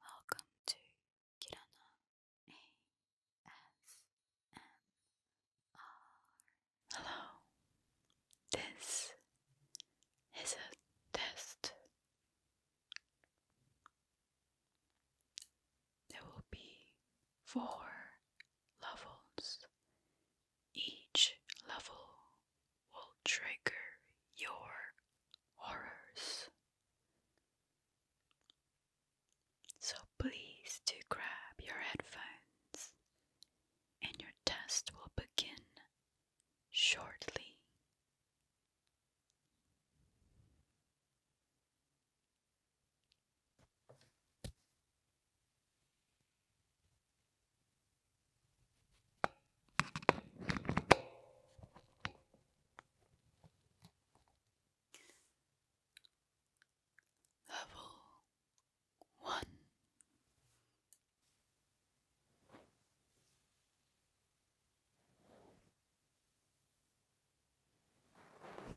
Welcome to Kirana ASMR. Hello, this is a test. There will be four levels. Each level will trigger your horrors. So please do grab your headphones and your test will begin shortly. Level one.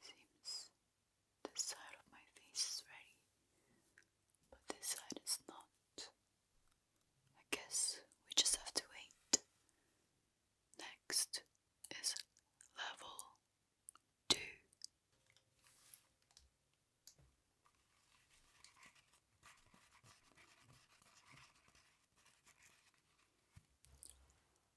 Seems this side of my face is ready, but this side is not. I guess we just have to wait. Next is level two.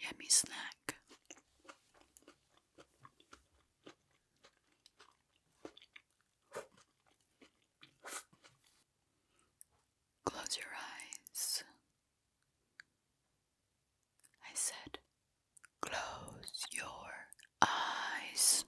Yummy snack. Close your eyes I said, Close your eyes.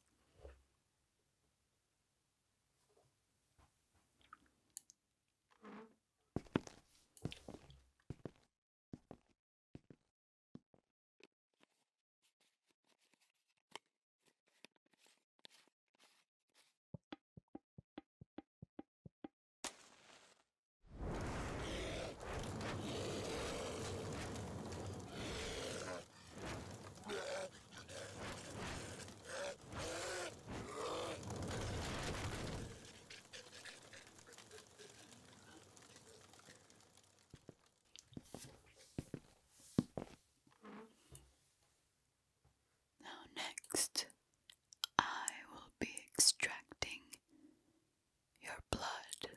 Now, next, I will be extracting your blood.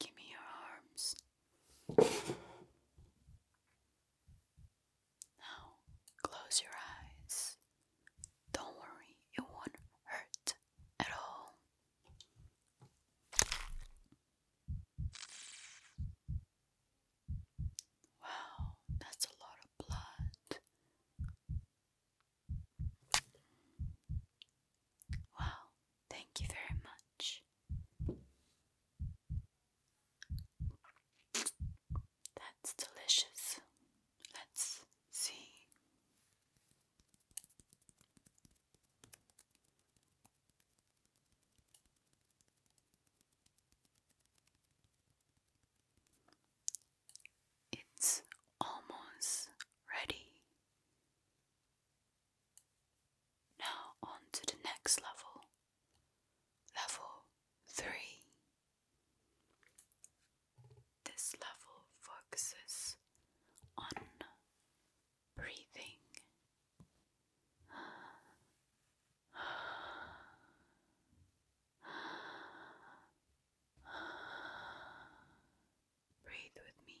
Give me your arms. Now close your eyes. Don't worry, it won't hurt at all. Wow, that's a lot of blood. Wow, thank you very much. That's delicious. Let's see. It's almost ready. Now, on to the next level. Level 3 This level focuses on breathing. Breathe with me.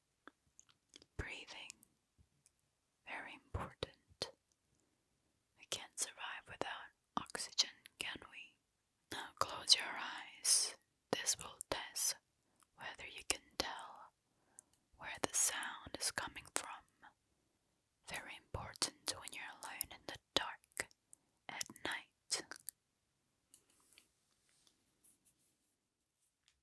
Breathing, very important. We can't survive without oxygen, can we? Now close your eyes. This will test whether you can tell where the sound is coming from. Very important when you're alone in the dark at night.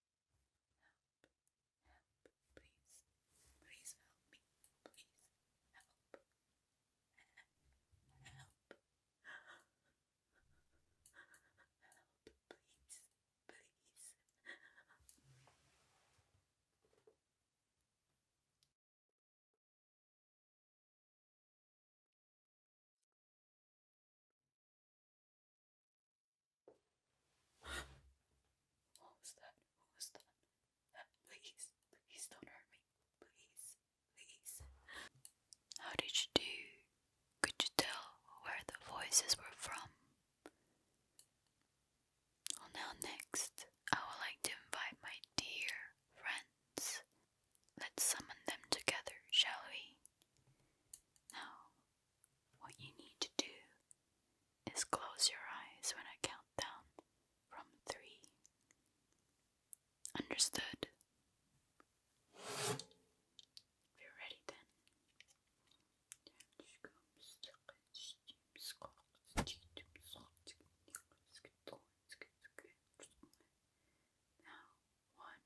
help, please, please help me, please help, help, help, please, please. What was that? What was that? Please, please don't hurt me. Please, please. How did you do? Could you tell where the voices were from? Well, now, next, I would like to invite my dear friends. Let's summon them together, shall we? Now, what you need to do is close your eyes when I count down from three. Understood? If you're ready then. Now, one,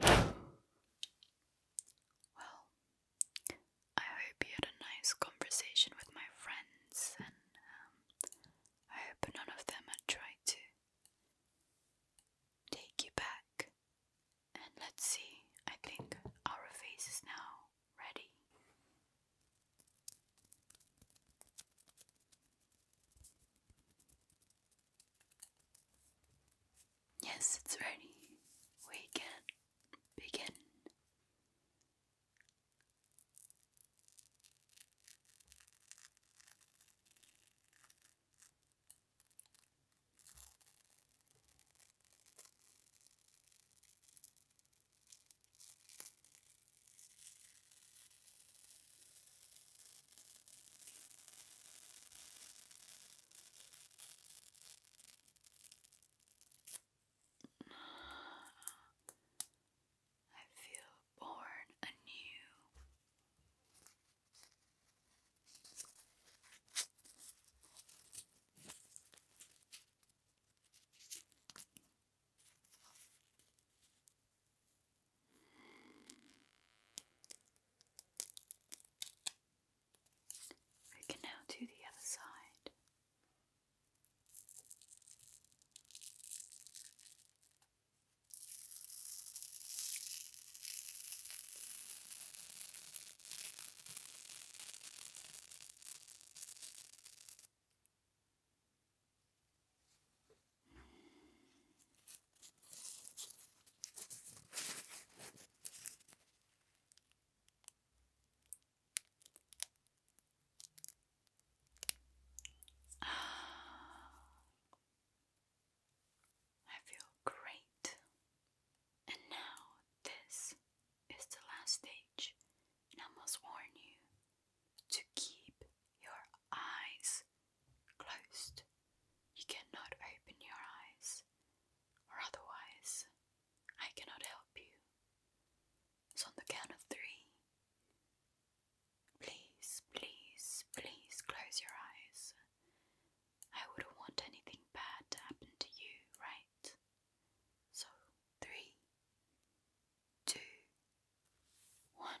Well, I hope you had a nice conversation with my friends, and um, I hope none of them had tried to take you back and let's see, I think our face is now ready. Yes, it's ready. We can begin. I feel born anew. We can now do the other side. I feel great. And now, this is the last stage, and I must warn you to keep your eyes closed. You cannot open your eyes, or otherwise, I cannot help you. So, on the count of three, please, please, please close your eyes. I wouldn't want anything bad to happen to you, right? So, three, two, one.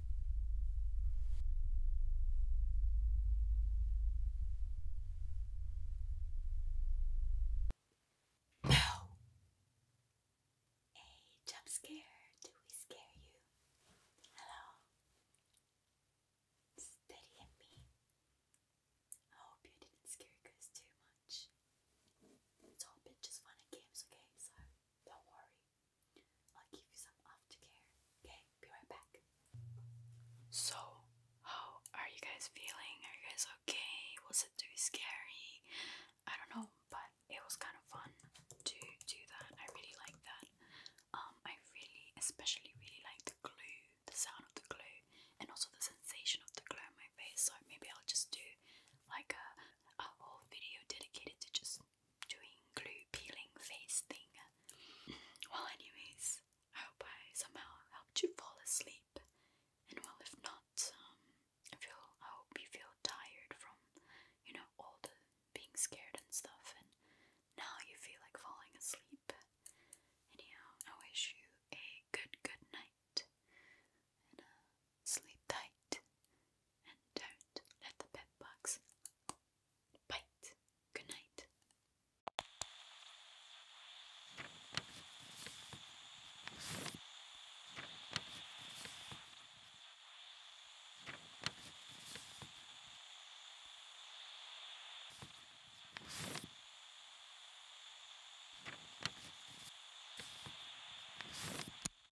Oh. Hey, jump scare. Do we scare you? Hello. Steady me. I hope you didn't scare you too much. It's all been just fun and games, okay? So don't worry. I'll give you some aftercare. Okay, be right back. So, how are you guys feeling? Are you guys okay? Was it too scary? I don't know, but it was kind of fun to do that. I really like that. Um, I really, especially really like the glue, the sound of the glue, and also the sensation of the glue on my face. So maybe I'll just do like a, a whole video dedicated to just doing glue peeling face thing. Well, anyways, I hope I somehow helped you fall asleep. And well, if not, um, feel I hope you feel tired from, you know, all the being scared and stuff. And now you feel like falling asleep. Anyhow, I wish you a good good night. Uh, Sleep tight and don't let the bed bugs bite. Good night.